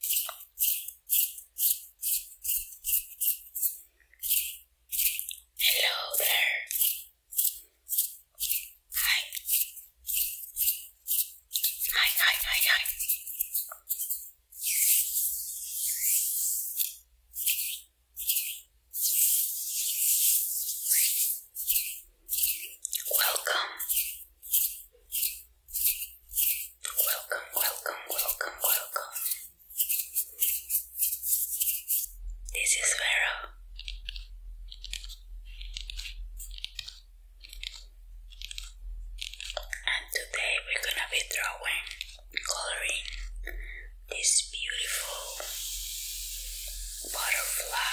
Hello there. Hi. Hi, hi, hi, hi. Welcome. Welcome, welcome, welcome, welcome. This is Vera. And today we're gonna be drawing, coloring this beautiful butterfly.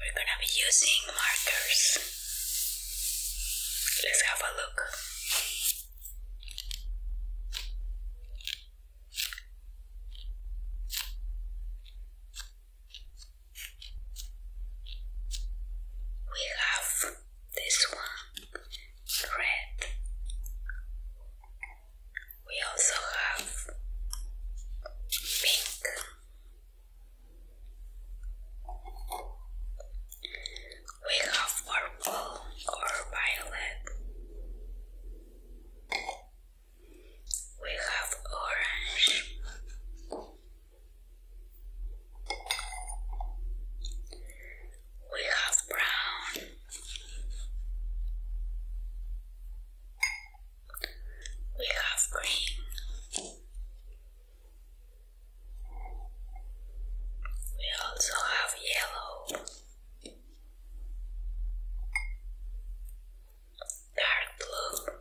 We're gonna be using markers. Let's have a look. We have this one red, we also have pink, we have purple or violet, we have orange. We have brown. We have green. We also have yellow. Dark blue.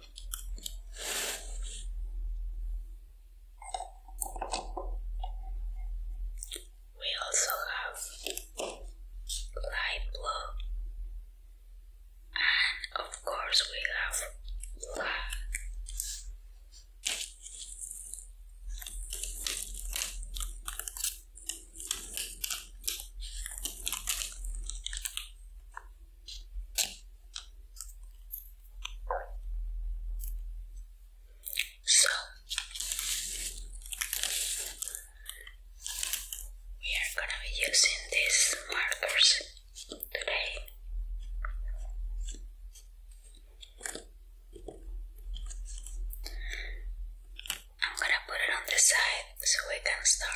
We also have light blue, and of course, we have black. So we are gonna be using these markers today. I'm gonna put it on the side so we can start.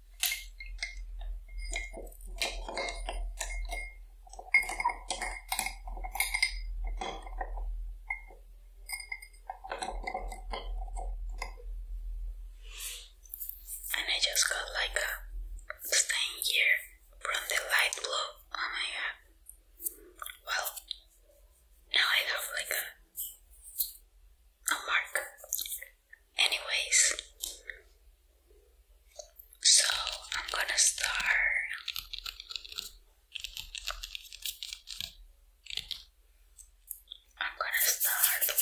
And I just got like a stain here from the light blue. Oh my god. Well, now I have like a mark Anyways, so I'm gonna start. I'm gonna start with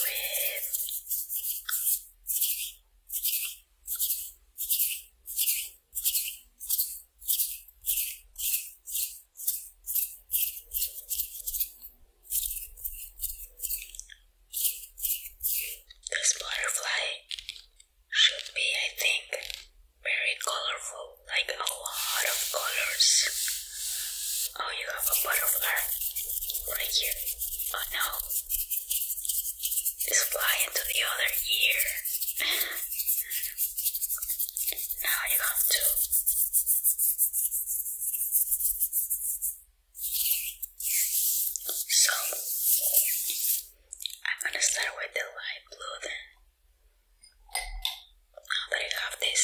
this butterfly should be, I think, very colorful, like a lot of colors. Oh, you have a butterfly right here. Oh no, it's flying to the other ear. now you have to. So I'm gonna start with the light blue then. Now I have this,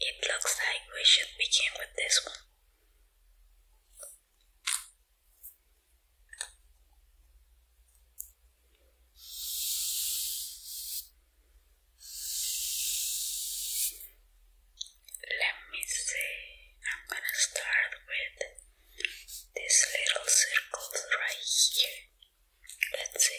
it looks like we should begin with this one. Let me see, I'm gonna start with these little circles right here. Let's see.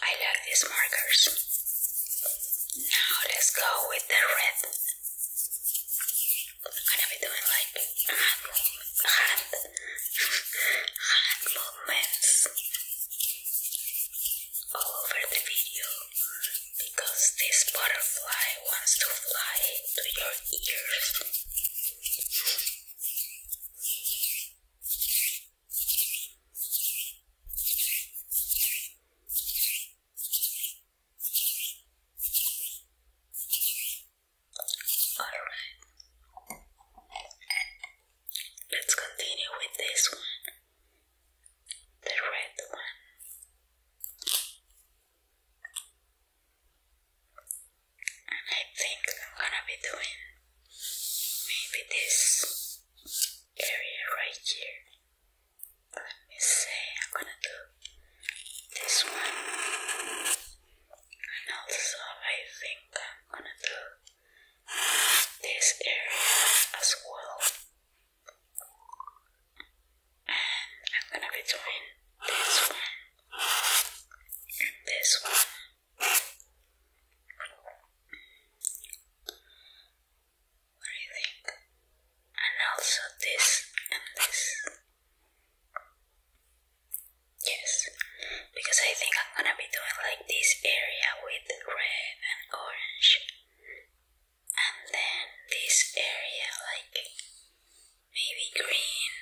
I love these markers. Now let's go with the red gonna be doing like hand, hand, hand movements all over the video because this butterfly wants to fly to your ears. Alright. Let's continue with this one. The red one. And I think I'm gonna be doing maybe this area right here. Let me say I'm gonna do this one and also I think I'm gonna do this area as well and I'm gonna be this one and this one what do you think? and also this and this Yes, because I think I'm gonna be doing like this area with red and orange, and then this area like maybe green.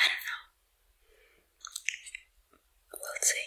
I don't know. We'll see.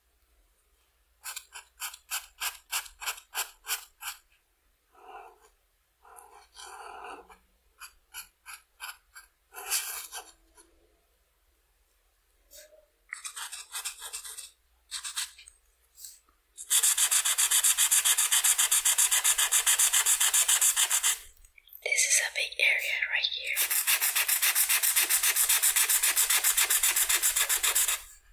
This is a big area right here.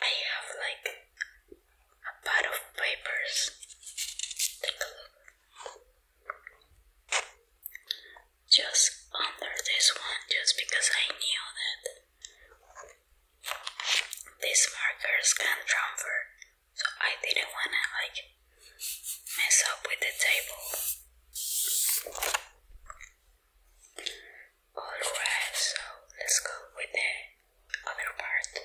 I have like a pad of papers. Take a look. Just under this one, just because I knew that these markers can transfer, so I didn't wanna like mess up with the table. Alright, so let's go with the other part.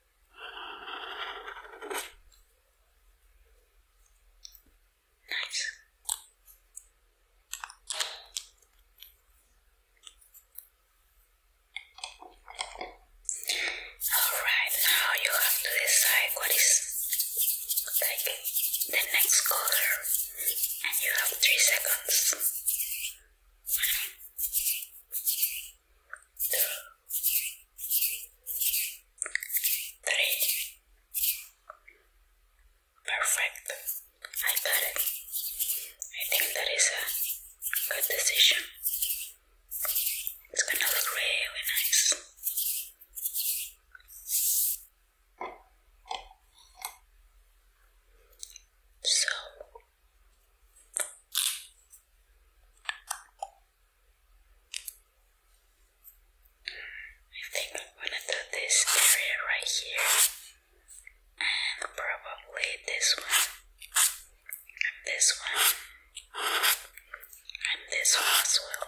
Nice. Alright, now you have to decide what is like the next color, and you have three seconds three. Perfect. I got it. I think that is a good decision. It's gonna look really nice. So I think I'm gonna do this area right here and probably this one and this one and this one as well.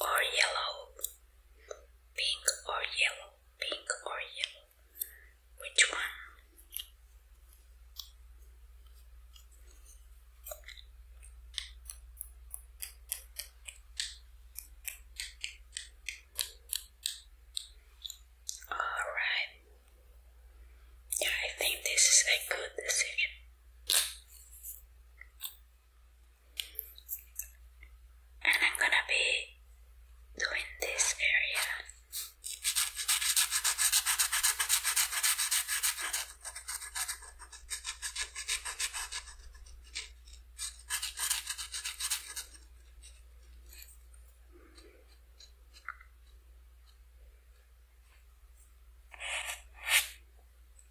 or yellow, pink or yellow, pink or yellow. Which one? All right. Yeah, I think this is a good decision. And I'm gonna be doing this area.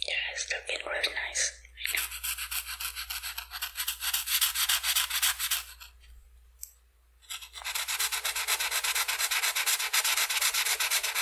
Yeah, it's looking really nice. I know.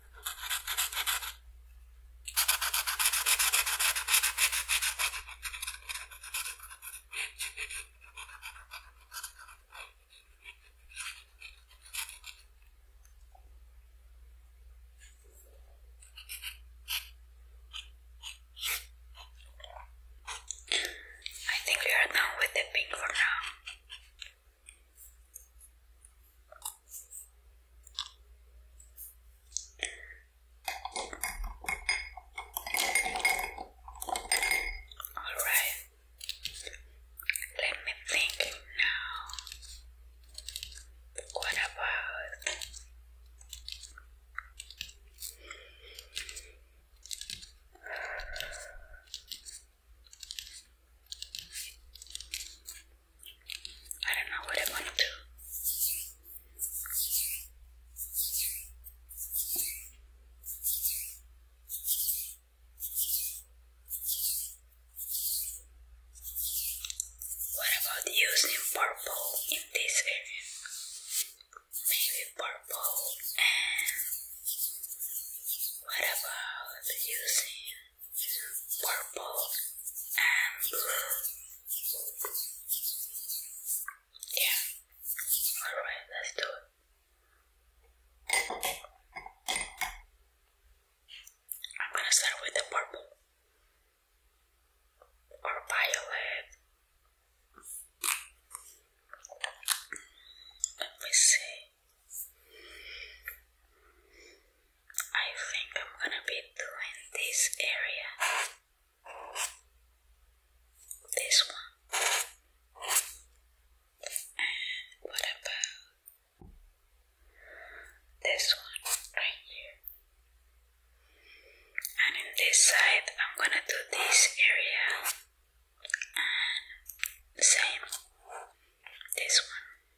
I think we are done with the pink for now. Alright, let me think now. What about? I don't know what I'm gonna do. What about using purple in this area? Maybe purple and what about using purple, and Yeah. Alright, let's do it. I'm gonna start with the purple or violet. Let me see. I think I'm gonna be doing this area. This one. And what about this one right here? And in this side, I'm gonna do this area. same, this one.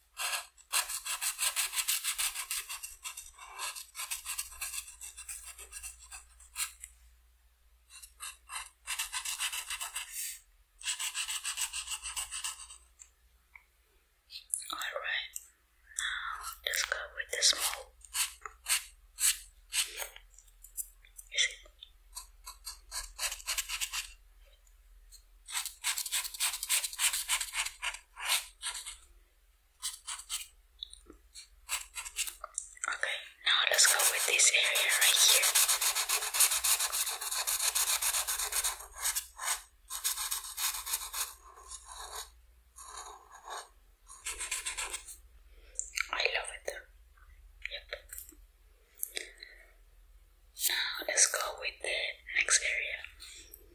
Alright, now let's go with the small. Is it? Okay, now let's go with this area right here. I love it. Yep. Now let's go with the next area.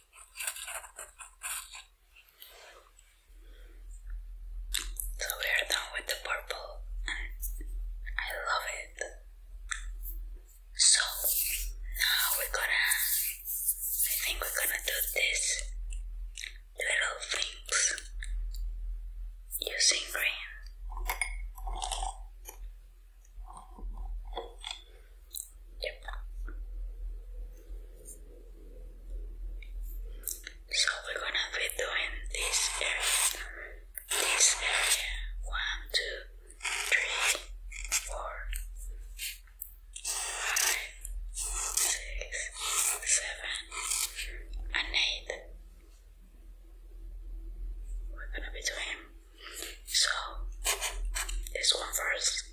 So we are done with the purple I love it. So now we're gonna, I think we're gonna do this little things using green. So we're gonna be doing this area, this area, one, two, three, four, five, six, seven, and eight. We're gonna be doing so this one first.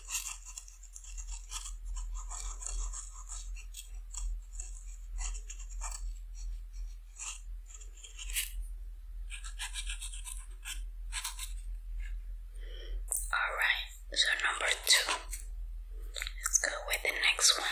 All right, so number two, let's go with the next one.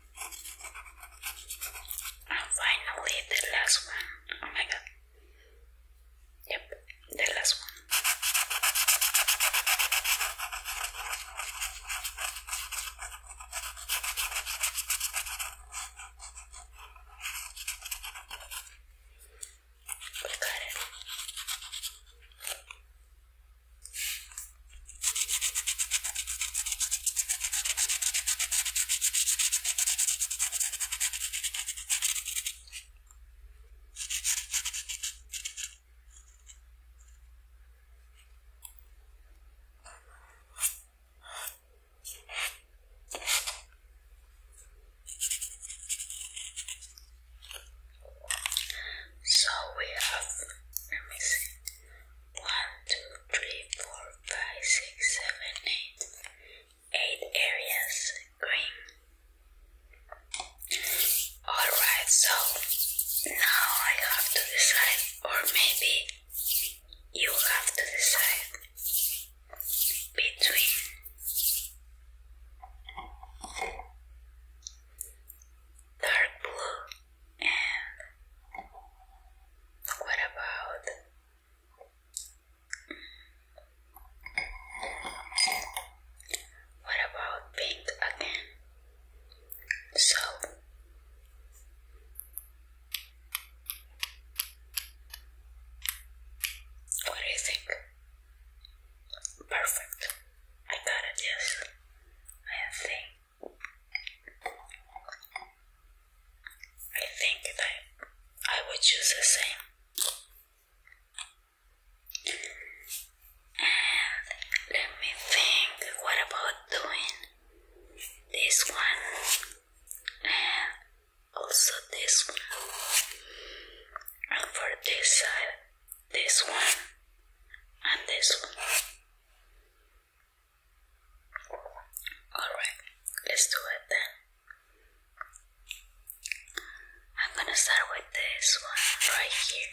And ah, finally, the last one. Oh my god. Yep, the last one. We got it. So we have, let me see, 1, 2, 3, 4, 5, 6, 7, 8. 8 areas green. Alright, so now I have to decide, or maybe you have to decide between dark blue and what about what about pink again? So what do you think? Perfect. I got yes. I think I think that I would choose the same. And let me think what about doing this one and also this one. And for this side, this one and this one. Alright, let's do it then. I'm gonna start with this one right here.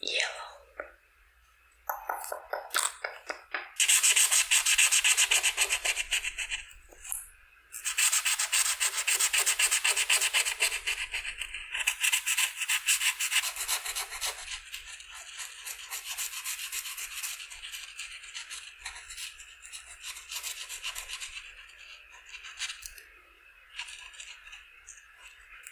yellow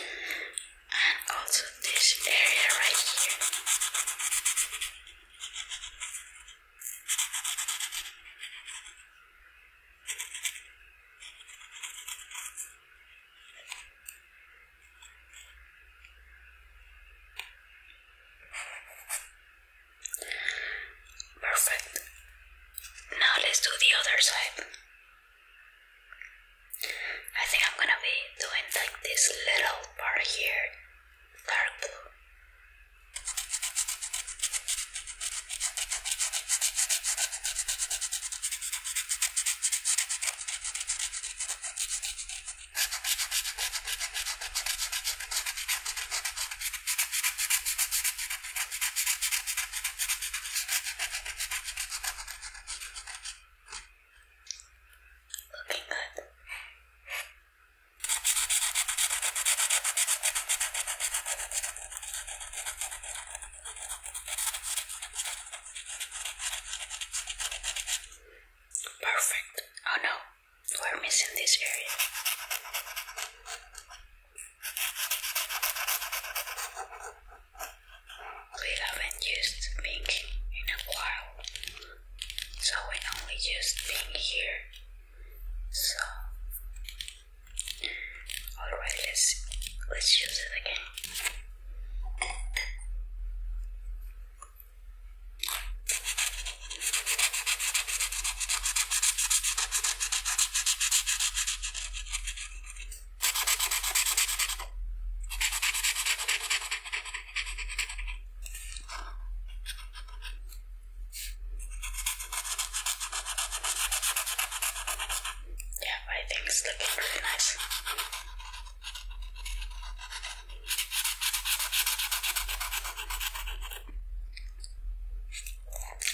And also this area right here. Perfect. Now let's do the other side. I think I'm gonna be doing like this little part here dark blue. Looking good. Perfect. Oh no, we're missing this area. We haven't used pink in a while, so we only used pink here. So, all right, let's let's use it again. Yeah, I think it's looking really nice.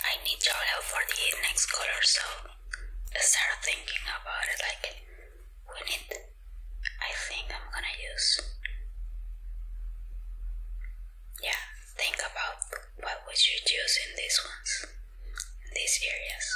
I need your help for the next color, so start thinking about it. Like, we need. I think I'm gonna use yeah, think about what would you choose in these ones, in these areas.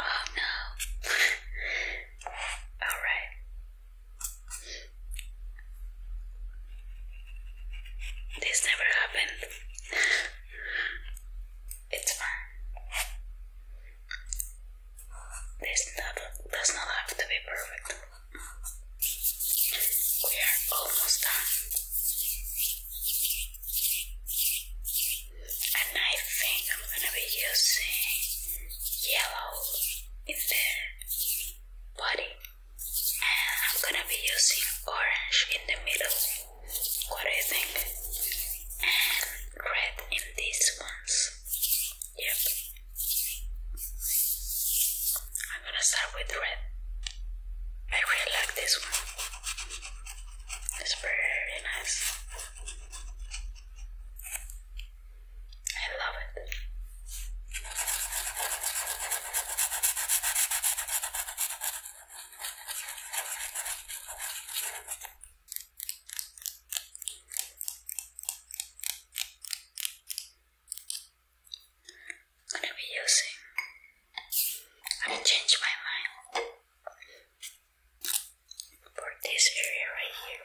Oh no. All right. This never happened. It's fine. This does not have to be perfect. We are almost done. And I think I'm gonna be using yellow in the body, and I'm gonna be using orange in the middle. What do you think? And red in these ones. Yep. I'm gonna start with red. I really like this one. It's very nice. I love it. I'm gonna be using. I'm gonna change my mind for this area right here.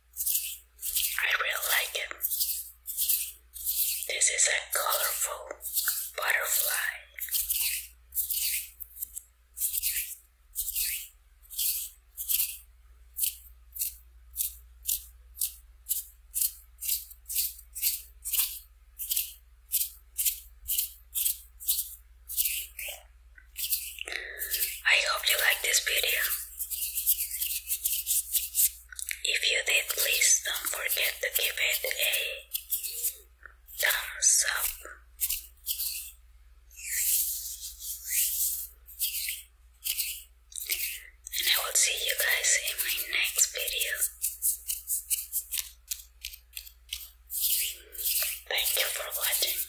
I really like it. This is a colorful butterfly. I hope you like this video. If you did, please don't forget to give it a thumbs up. And I will see you guys in my next video. Thank you for watching.